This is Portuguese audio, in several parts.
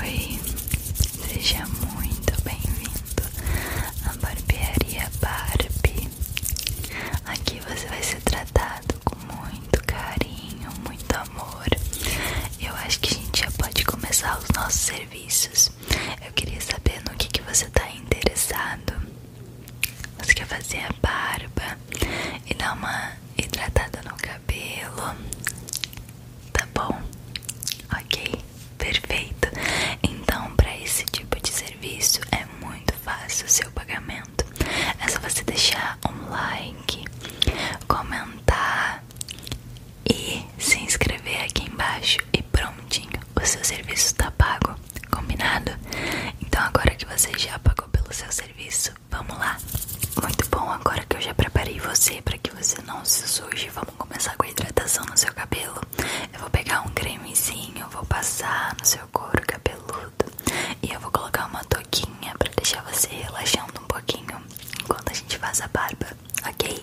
Oi, seja muito bem-vindo à barbearia Barbie. Aqui você vai ser tratado com muito carinho, muito amor. Eu acho que a gente já pode começar os nossos serviços. Eu queria saber no que, que você está interessado. Você quer fazer a barba e dar uma hidratada no cabelo? Tá bom? Ok, perfeito. Então, para esse tipo de serviço é muito fácil o seu pagamento. É só você deixar um like, comentar e se inscrever aqui embaixo e prontinho, o seu serviço tá pago, combinado? Então agora que você já pagou pelo seu serviço, Vamos lá. Muito bom, agora que eu já preparei você para que você não se suje, vamos começar com a hidratação no seu cabelo. Eu vou pegar um cremezinho, vou passar no seu couro cabeludo e eu vou colocar uma toquinha para deixar você relaxando um pouquinho enquanto a gente faz a barba, ok?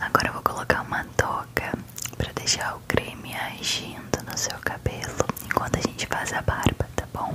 Agora eu vou colocar uma toca para deixar o creme agindo no seu cabelo enquanto a gente faz a barba, tá bom?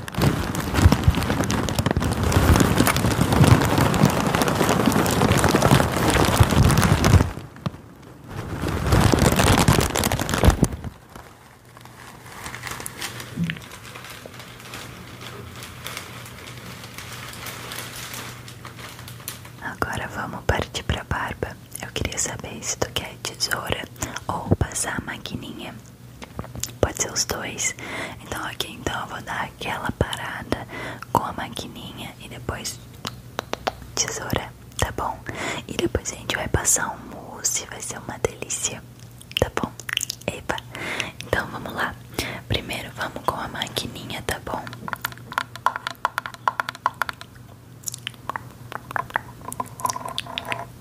Agora vamos partir para barba. Eu queria saber se tu quer tesoura ou passar a maquininha Pode ser os dois. Então aqui então eu vou dar aquela parada com a maquininha e depois tesoura, tá bom? E depois a gente vai passar um mousse, vai ser uma delícia, tá bom? Eba. Então vamos lá. Primeiro vamos com a maquininha, tá bom?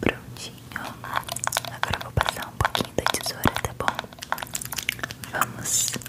Prontinho. Agora vou passar um pouquinho da tesoura, tá bom? Vamos. Pronto.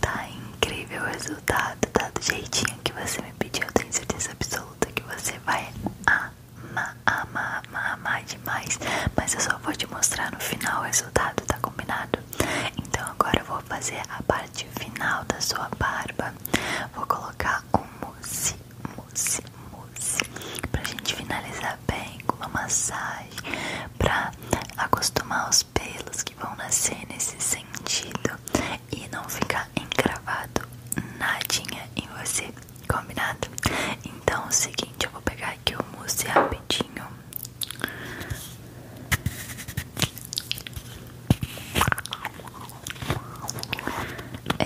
Tá incrível o resultado, tá do jeitinho que você me pediu. Eu tenho certeza absoluta que você vai amar, amar, amar, amar demais. Mas eu só vou te mostrar no final o resultado, tá combinado? Então agora eu vou vou fazer a parte final da sua barba. Vou colocar um mousse, mousse, mousse pra gente finalizar bem com uma massagem pra acostumar os pelos que vão nascer nesse sentido e não ficar encravado nadinha em você, combinado? Então é o seguinte, eu vou pegar aqui o mousse rapidinho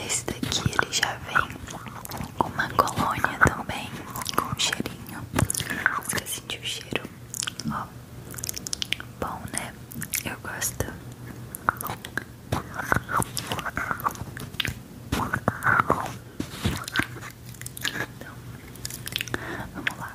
este daqui ele já vem com uma colônia também, com um cheirinho. Você sentiu o cheiro? Ó, bom, né? Eu gosto. Então, vamos lá.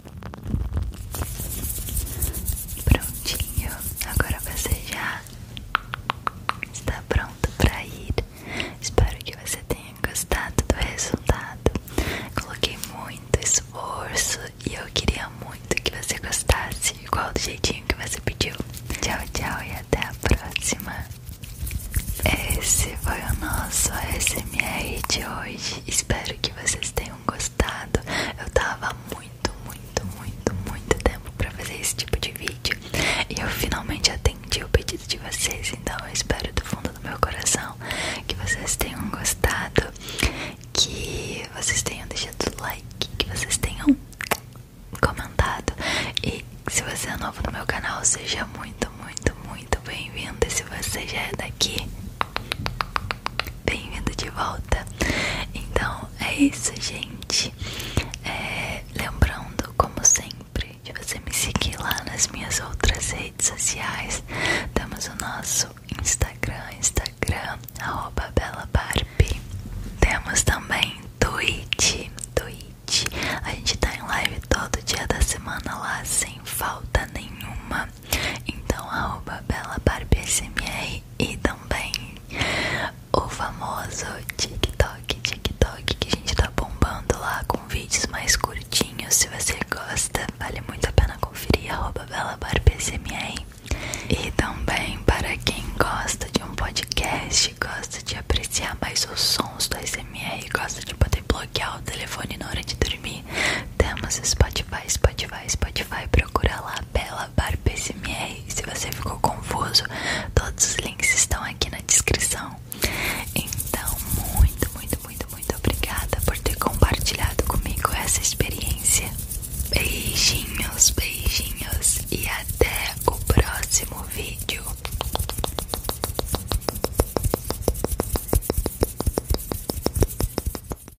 Prontinho, agora você já está pronto para ir. Espero que você tenha gostado do resultado. Coloquei muito esforço e eu queria muito que você gostasse, igual do jeitinho que você pediu. Tchau, tchau e até a próxima. Esse foi o nosso SMR de hoje. Espero que vocês tenham gostado gostado. Eu tava muito, muito, muito, muito tempo para fazer esse tipo de vídeo. E eu finalmente atendi o pedido de vocês. Então eu espero do fundo do meu coração que vocês tenham gostado. Que vocês tenham deixado o like. Que vocês tenham comentado. E se você é novo no meu canal, seja muito, muito, muito bem-vindo. E se você já é daqui, Bem-vindo de volta. Então é isso, gente. É, lembrando, como sempre, de você me seguir lá nas minhas outras redes sociais. Temos o nosso Instagram, Instagram, arroba Bela Barbie. Temos também Twitch, Twitch. A gente tá em live todo dia da semana lá, sem falta nenhuma. Então, arroba BelaBarbSMR e também o famoso TikTok, TikTok que a gente está bombando lá com vídeos mais curtinhos. Se você gosta, vale muito a pena conferir arroba BelaBarbSMR. E também para quem gosta de um podcast, gosta de apreciar mais os sons do SMR, gosta de poder bloquear o telefone na hora de dormir, temos Spotify. Spotify, Spotify, Spotify, procura lá Bela Barba SMR. Se você ficou confuso, todos os links estão aqui na descrição. Então, muito, muito, muito, muito obrigada por ter compartilhado comigo essa experiência. Beijinhos, beijinhos e até o próximo vídeo.